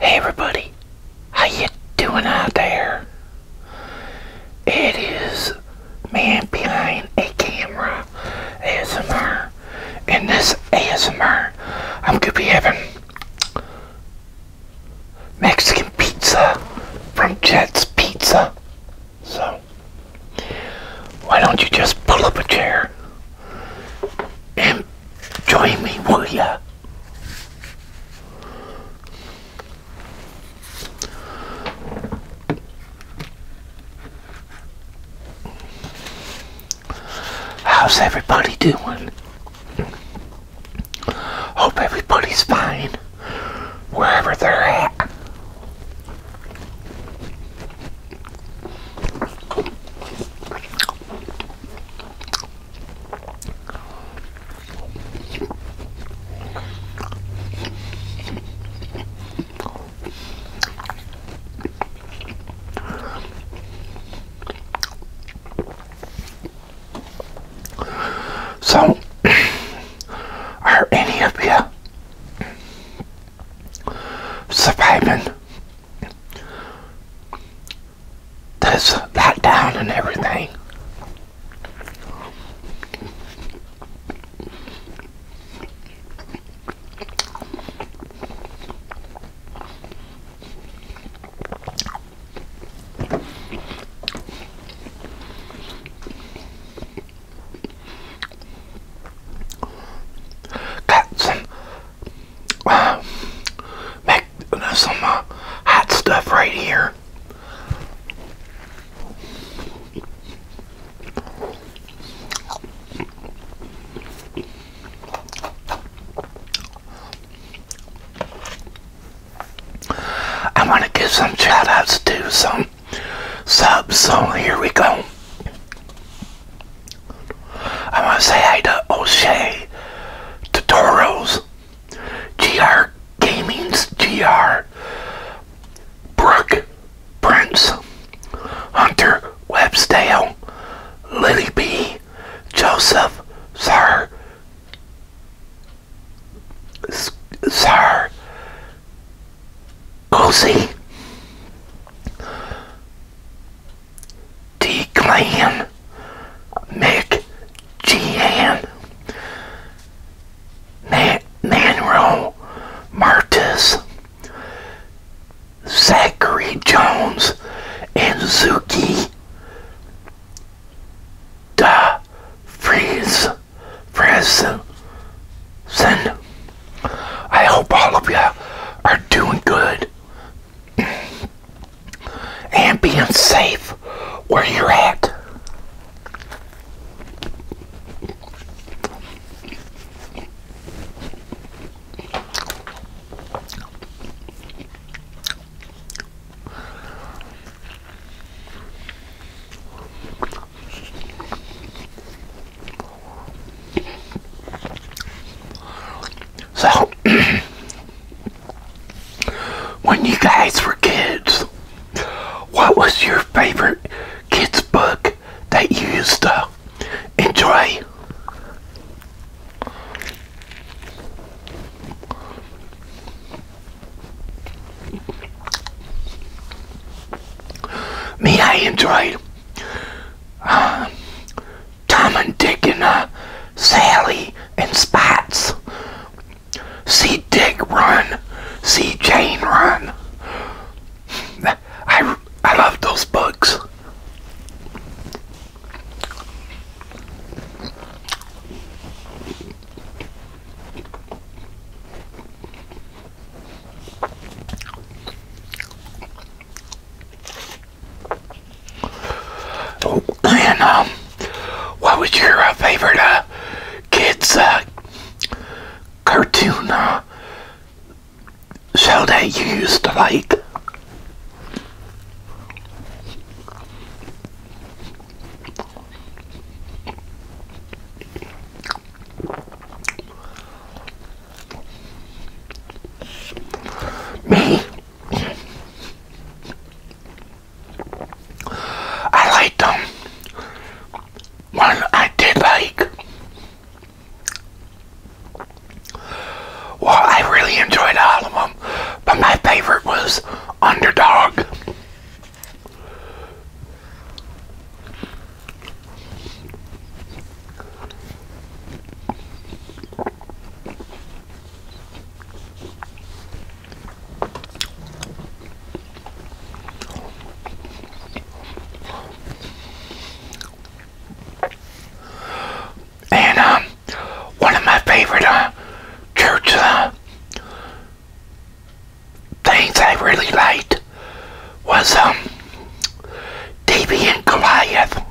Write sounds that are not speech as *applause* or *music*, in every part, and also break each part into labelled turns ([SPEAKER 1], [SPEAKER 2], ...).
[SPEAKER 1] Hey everybody, how you doing out there? It is man behind a camera ASMR. and this ASMR, I'm gonna be having Mexican pizza from Jet's Pizza. So, why don't you just pull up a chair, and join me, will ya? How's everybody doing? Hope everybody's fine wherever they're at. So, *clears throat* are any of you surviving that down and everything. Got some uh, some hot stuff right here. I want to give some shout outs to some Sub so here we go. I want to say hi to O'Shea Tutorials, GR Gaming's GR, Brooke Prince, Hunter Websdale, Lily B, Joseph Sir, Sir. Cozy D Clan Mick Gian Manro Martis Zachary Jones and Zuki da freeze prison. I hope all of you are doing good and being safe where you're at. So, *clears throat* when you guys were kids, what was your favorite kids' book that you used to enjoy? Me, I enjoyed uh, Tom and Dick and uh, Sally and Spots. See Dick run, see Jane run. I, I love those books. Oh, and um, what was your uh, favorite uh, kids uh, cartoon show that you used to like? Me, I like them. One I did like. Well, I really enjoyed all of them. But my favorite was Underdog. And um, one of my favorite uh, church uh, things I really liked was um, Davy and Goliath.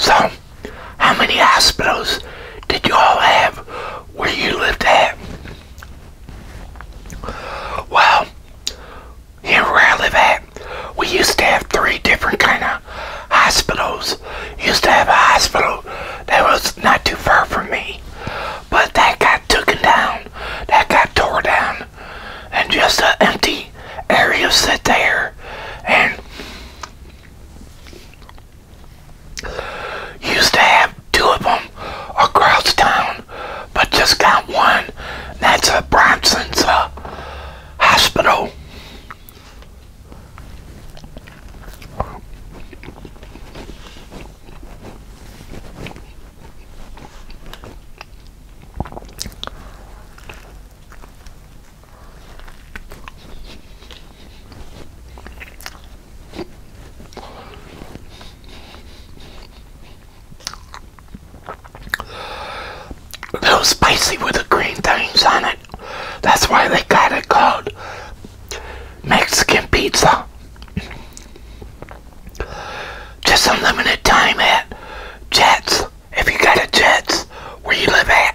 [SPEAKER 1] So, how many hospitals did you all have where you lived at? Well, here where I we used to have three different kind of hospitals. Used to have a hospital that was not too far from me, but that got taken down. That got tore down, and just an empty area sit there. And used to have two of them across town but just got one. That's a Bronson's uh, hospital. Little spicy with the green things on it. That's why they got it called Mexican pizza. Just unlimited time at Jets. If you got a Jets, where you live at.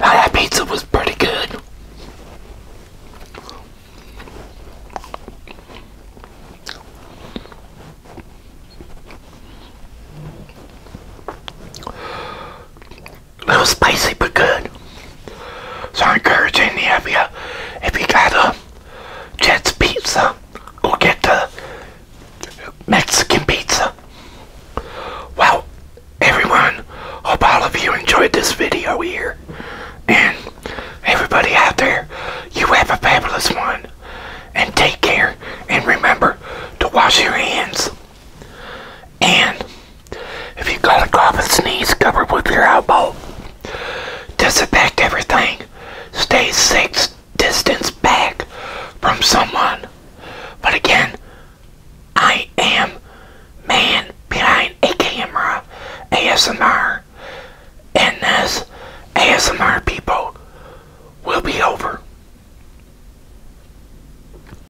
[SPEAKER 1] that pizza was pretty good. A little spicy, but good. So I encourage any of you, if you got a Jet's Pizza, go get the Mexican pizza. Well, everyone, hope all of you enjoyed this video here. And everybody out there, you have a fabulous one. And take care. And remember to wash your hands. And... If you got a cough and sneeze, cover with your elbow. Disinfect everything. Stay six distance back from someone. But again, I am man behind a camera ASMR. And this ASMR people will be over.